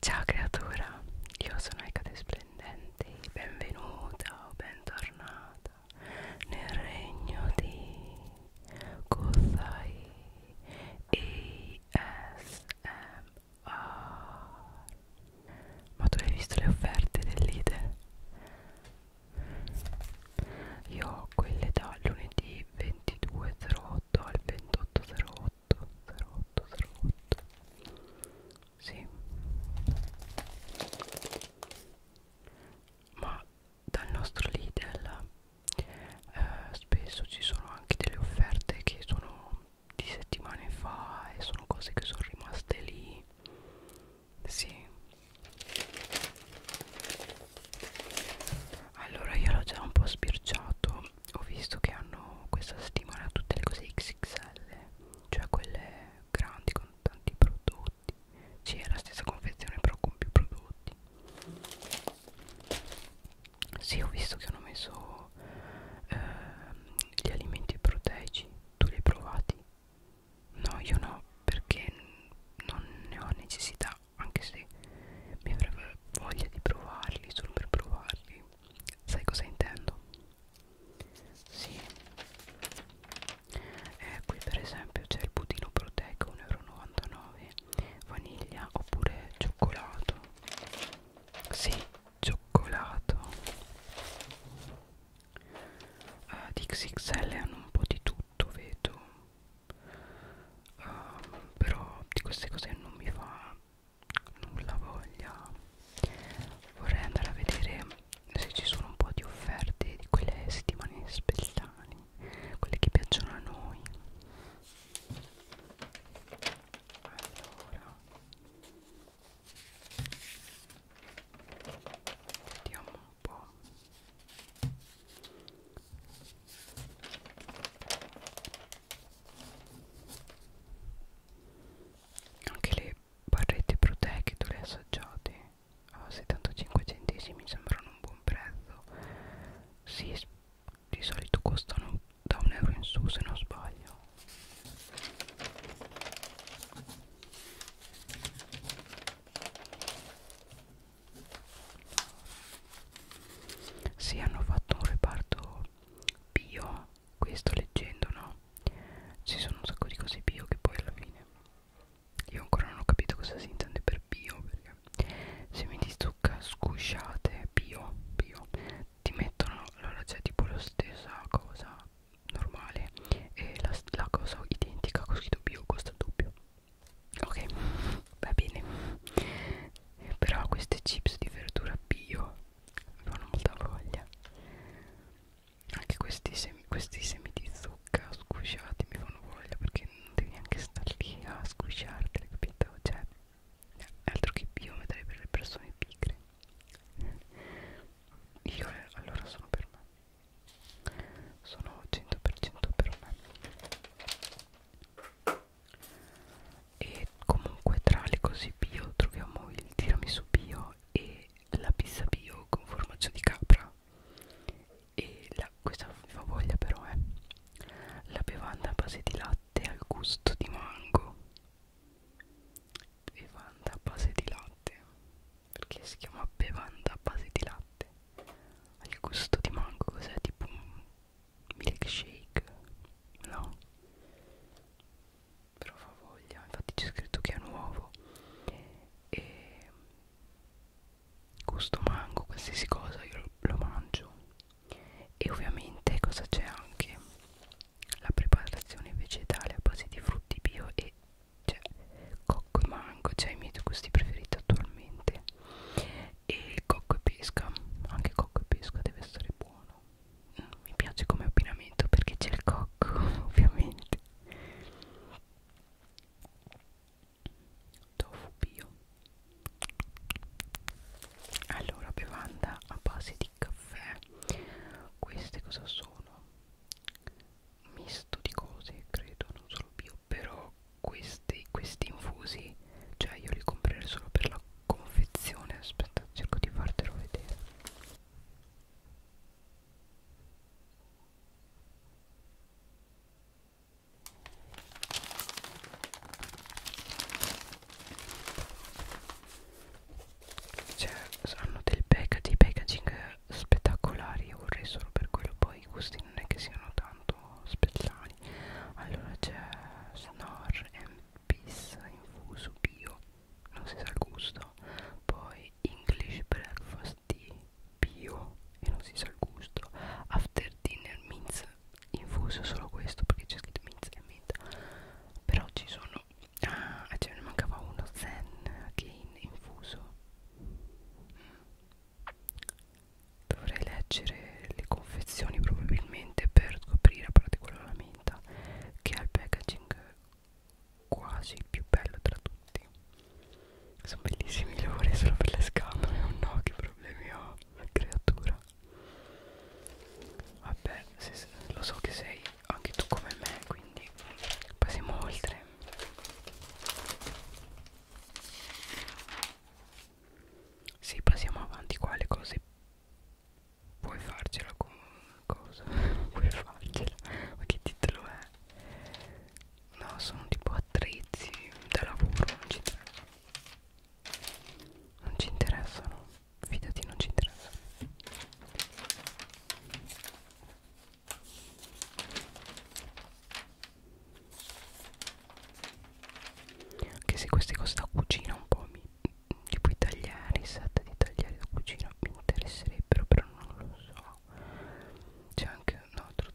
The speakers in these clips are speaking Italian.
Ciao creatura, io sono Ecate Splendente, benvenuta o bentornata nel regno di Kozai ASMR Ma tu hai visto le offerte dell'IDE? Io ho quelle da lunedì 22.08 al 28.08 08 08 08 sì ma dal nostro Lidl eh, spesso ci sono anche delle offerte che sono di settimane fa e sono cose che sono rimaste lì sì allora io l'ho già un po' sbirciato ho visto che hanno questa settimana tutte le cose XXL cioè quelle grandi con tanti prodotti sì è la stessa confezione però con più prodotti sì ho visto che hanno messo ehm, gli alimenti proteici tu li hai provati? no io no perché non ne ho necessità anche se mi avrebbe voglia di provarli solo per provarli sai cosa intendo? Sì. Eh, qui per esempio c'è il budino proteico 1,99 vaniglia oppure cioccolato. Sì, cioccolato. Uh, eh, di XXL hanno un po' di tutto, vedo. Uh, però di queste cose non mi fa nulla voglia vorrei andare a vedere se ci sono un po' di offerte di quelle settimane speciali quelle che piacciono a noi allora vediamo un po' anche le barrette proteiche le assaggiate a ah, 75 centesimi sembrano un buon prezzo si sì, di solito costano da un euro in su se non sbaglio si hanno fatto un reparto bio questo leggendo no ci sono un sacco di cose bio che poi alla fine io ancora non ho capito cosa si intende per bio perché semi di zucca sgusciate bio bio ti mettono allora c'è tipo la stessa cosa normale e la, la cosa identica così scritto bio costa doppio ok va bene però queste chips di verdura bio mi fanno molta voglia anche questi semi, questi semi di zucca squisciati mi fanno voglia perché non devi neanche stare lì a squisciarteli capito cioè altro che bio metterei per le persone pigre io allora sono per me sono 100% per me e comunque tra le cose bio troviamo il tiramisù bio e la pizza bio con formaggio di capra e la, questa fa voglia però è eh. la bevanda a base di latte al gusto di mango bevanda a base di latte perché si chiama bevanda a base di latte al gusto di mango cos'è tipo un milkshake no però fa voglia infatti c'è scritto che è nuovo e gusto mango qualsiasi cosa io lo, lo mangio e ovviamente cosa c'è anche la preparazione vegetale a base di frutti bio e cioè, cocco e mango, cioè i miei due gusti preferiti attualmente e il cocco e pesca anche cocco e pesca deve essere buono mm, mi piace come abbinamento perché c'è il cocco ovviamente tofu bio allora bevanda a base di caffè queste cosa sono misto di cose credo non solo bio però questi, questi infusi cioè io li comprerei solo per la confezione aspetta cerco di fartelo vedere cioè hanno dei packaging, packaging spettacolari io vorrei solo per quello poi i gusti non è che siano tanto spettacolari vegetali allora c'è Snor and Peace infuso bio non si sa il gusto poi English breakfast tea bio e non si sa il gusto after dinner mince infuso solo questo perché c'è scritto mince e menta però ci sono ah cioè ne mancava uno zen gain infuso dovrei leggere le confezioni probabilmente per scoprire a parte quella della menta che ha il packaging quasi il più bello tra tutti sono bellissimi i lavori solo per le scatole o no che problemi ho creatura vabbè se, se, lo so che sei anche tu come me quindi passiamo oltre se passiamo avanti qua le cose puoi farcela con cosa puoi farcela ma che titolo è no sono tipo attrezzi da lavoro non ci interessano non ci interessano fidati non ci interessano anche se queste cose da cucina un po' mi, tipo i tagliari, set di tagliari da cucina mi interesserebbero però non lo so c'è anche un altro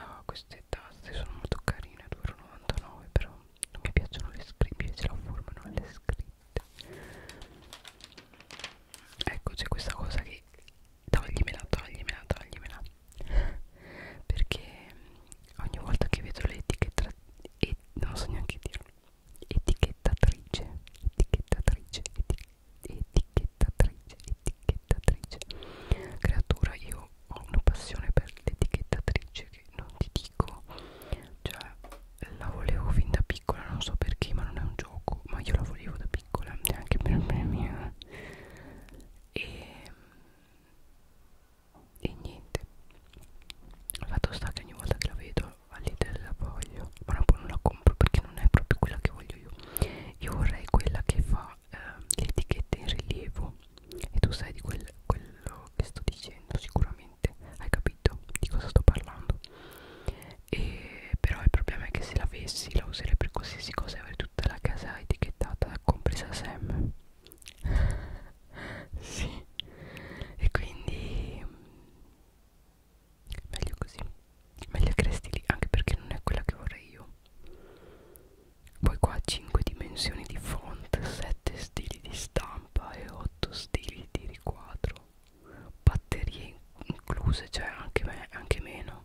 ah, queste taste sono molto carine 2,99 però non mi piacciono le scritte mi piace la forma non le scritte ecco c'è questa cosa che Toglimela, toglimela, toglimela Perché ogni volta che vedo l'etichetta e non so neanche dirlo Etichettatrice Etichettatrice Etichettatrice Etichettatrice Creatura io ho una passione per l'etichettatrice che non ti dico Cioè la volevo fin da piccola non so perché ma non è un gioco ma io la volevo da piccola neanche per me mia e, e niente fatto sta che ogni volta che la vedo all'idea la voglio ma poi non la compro perché non è proprio quella che voglio io io vorrei quella che fa eh, le etichette in rilievo e tu sai di quel, quello che sto dicendo sicuramente hai capito di cosa sto parlando e però il problema è che se l'avessi la userei per qualsiasi cosa e avrei tutta la casa etichettata compresa Sam sì e quindi mm, meglio così meglio cresti lì anche perché non è quella che vorrei io poi qua 5 dimensioni di font 7 stili di stampa e 8 stili di riquadro batterie incluse cioè anche, me anche meno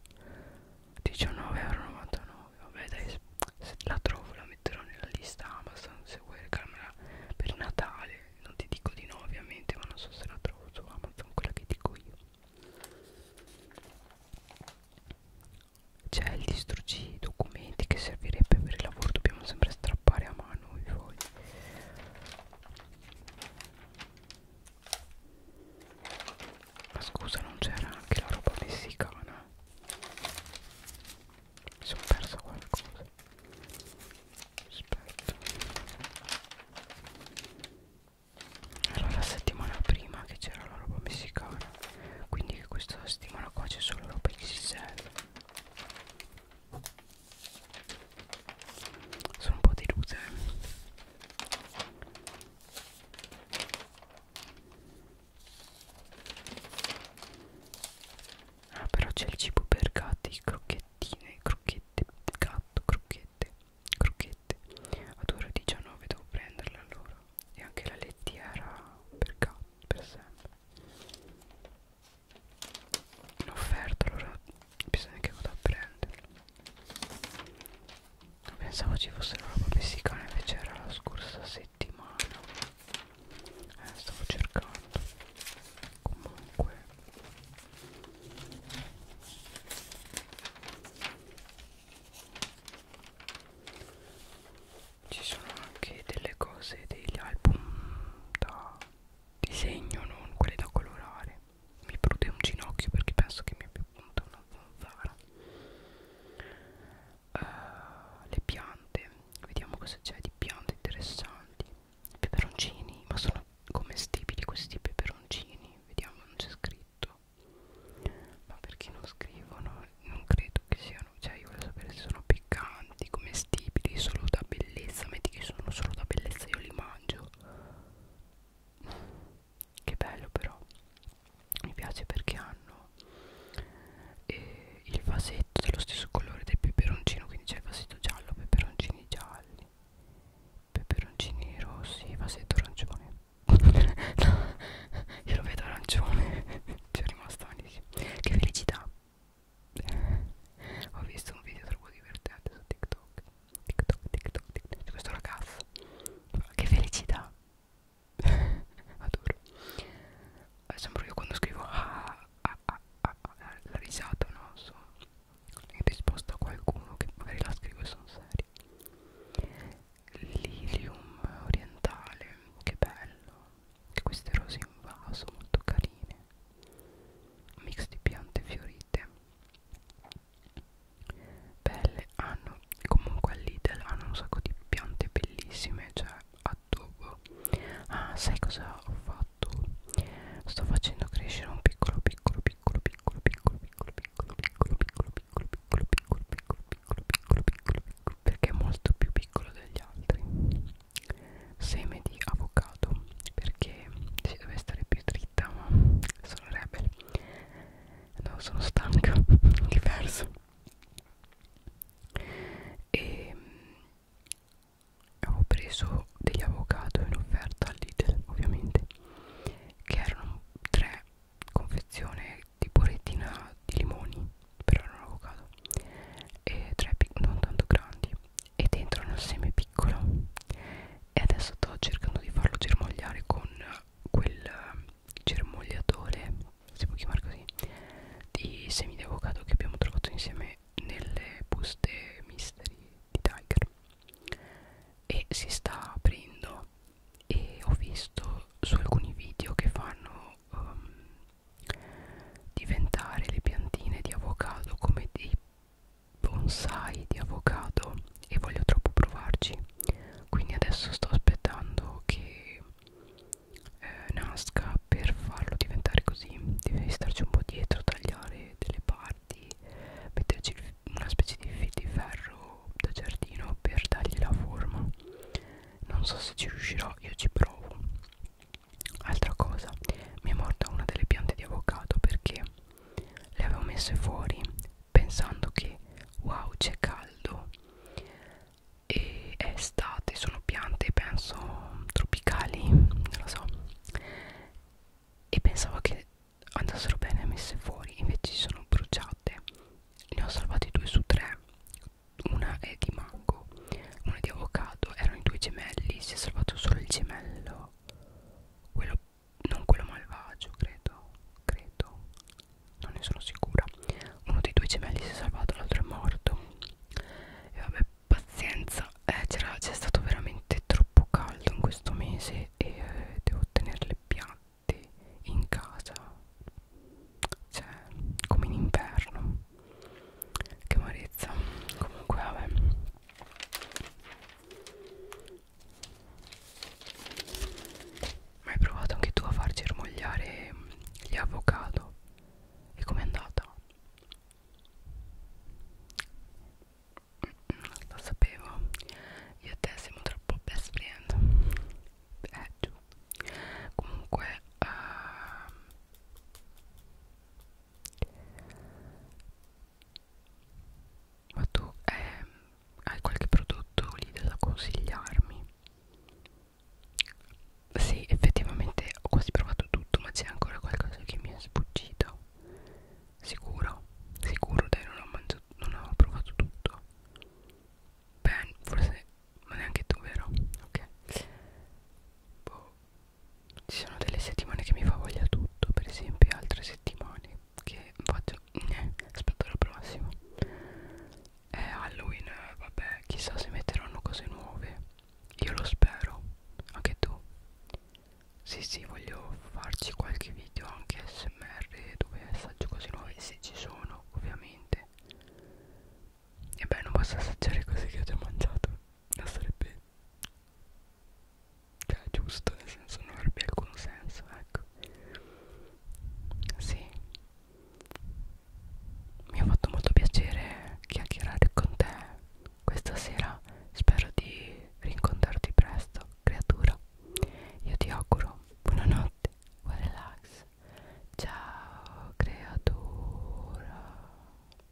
19,99€ vabbè dai se la trovo la metterò nella lista Amazon se vuoi regalarmela per Natale non ti dico di no ovviamente ma non so se la trovo su Amazon quella che dico io c'è il distruggi documenti che servirebbe per il lavoro dobbiamo sempre strappare a mano i fogli ma scusa non c'era anche la roba messicana mi sono persa qualcosa aspetta allora la settimana prima che c'era la roba messicana quindi questa settimana qua c'è solo roba XXL sono un po' delusa eh. Ah però c'è il cibo per gatti, crocchettine, crocchette, gatto, crocchette, crocchette Ad ora 19 devo prenderle allora E anche la lettiera per gatto, per sempre L'offerta allora bisogna che vado a prenderlo pensavo ci fosse la roba messicana invece era la scorsa settimana eh, stavo cercando comunque ci sono anche delle cose degli album da disegno non quelli da colorare mi prude un ginocchio perché penso che mi abbia punta una zanzara uh, le piante vediamo cosa c'è di piante interessanti peperoncini ma sono commestibili questi peperoncini vediamo non c'è scritto ma perché non scrivono non credo che siano cioè io voglio sapere se sono piccanti commestibili solo da bellezza metti che sono solo da bellezza io li mangio che bello però mi piace perché hanno eh, il vasetto dello stesso colore del peperoncino quindi c'è il vasetto giallo peperoncini gialli peperoncini rossi vasetto arancione no, io lo vedo arancione ci è rimasto malissimo che felicità ho visto un video troppo divertente su tiktok tic toc tic toc tic toc di questo ragazzo che felicità adoro eh, sembro io quando scrivo ah, ah, ah, ah, ah" la risata no so in risposta a qualcuno che magari la scrivo e sono serio lilium orientale che bello che queste rose in vaso molto carine mix di piante fiorite belle hanno comunque all'Idel hanno un sacco di piante bellissime cioè addobbo ah sai cosa ho fatto sto facendo crescere un piccolo piccolo piccolo piccolo piccolo piccolo piccolo piccolo piccolo piccolo piccolo piccolo piccolo piccolo piccolo piccolo piccolo perché è molto più piccolo degli altri seme di avocado sbagliato perché si deve stare più dritta ma sono rebel no sono stanca diverso e ehm, avevo preso degli avocado in offerta al Lidl ovviamente che erano tre confezioni di borettina di limoni però erano avocado e tre non tanto grandi e dentro nel seme piccolo e adesso sto cercando di farlo germogliare con quel eh, germogliatore si può chiamare così di semi di avocado che abbiamo trovato insieme nelle buste mystery di Tiger e si sta aprendo e ho visto su alcuni video che fanno um, diventare le piantine di avocado come dei bonsai di avocado e voglio troppo provarci quindi adesso sto aspettando che eh, nasca per farlo diventare così devi starci un po' dietro tagliare delle parti metterci una specie di fil di ferro da giardino per dargli la forma non so se ci riuscirò io ci provo altra cosa mi è morta una delle piante di avocado perché le avevo messe fuori pensando che wow c'è caldo e è estate sono piante penso tropicali non lo so e pensavo che andassero bene messe fuori invece ci sono bruciate ne ho salvati due su tre una è di mango una è di avocado erano i due gemelli si è salvato solo il gemello quello non quello malvagio credo credo non ne sono sicura uno dei due gemelli si è salvato l'altro è morto e vabbè pazienza eh, c'è stato veramente troppo caldo in questo mese e eh, devo tenere le piante in casa cioè come in inverno che amarezza comunque vabbè ma hai provato anche tu a far germogliare gli avocado? E com'è andata? Mm, lo sapevo, io e te siamo troppo best friend. Eh, giù. Comunque, uh, ma tu eh, hai qualche prodotto lì da consigliarmi? Sì, effettivamente ho quasi provato tutto, ma c'è ancora qualcosa che mi è sfuggito. Sicuro, sicuro, dai, non ho, mangiato, non ho provato tutto. Beh, forse ma neanche tu, vero? Ok. Boh, ci sono delle settimane che mi fa voglia tutto per esempio altre settimane che faccio eh, aspetto la prossima è Halloween vabbè chissà se metteranno cose nuove io lo spero anche tu sì sì voglio farci qualche video anche smr dove assaggio cose nuove se ci sono ovviamente e beh non basta assaggiare cose che ho già mangiato sarebbe cioè giusto nel senso non avrebbe alcun senso ecco sì mi ha fatto molto piacere chiacchierare con te questa sera spero di rincontrarti presto creatura io ti auguro buonanotte buon relax ciao creatura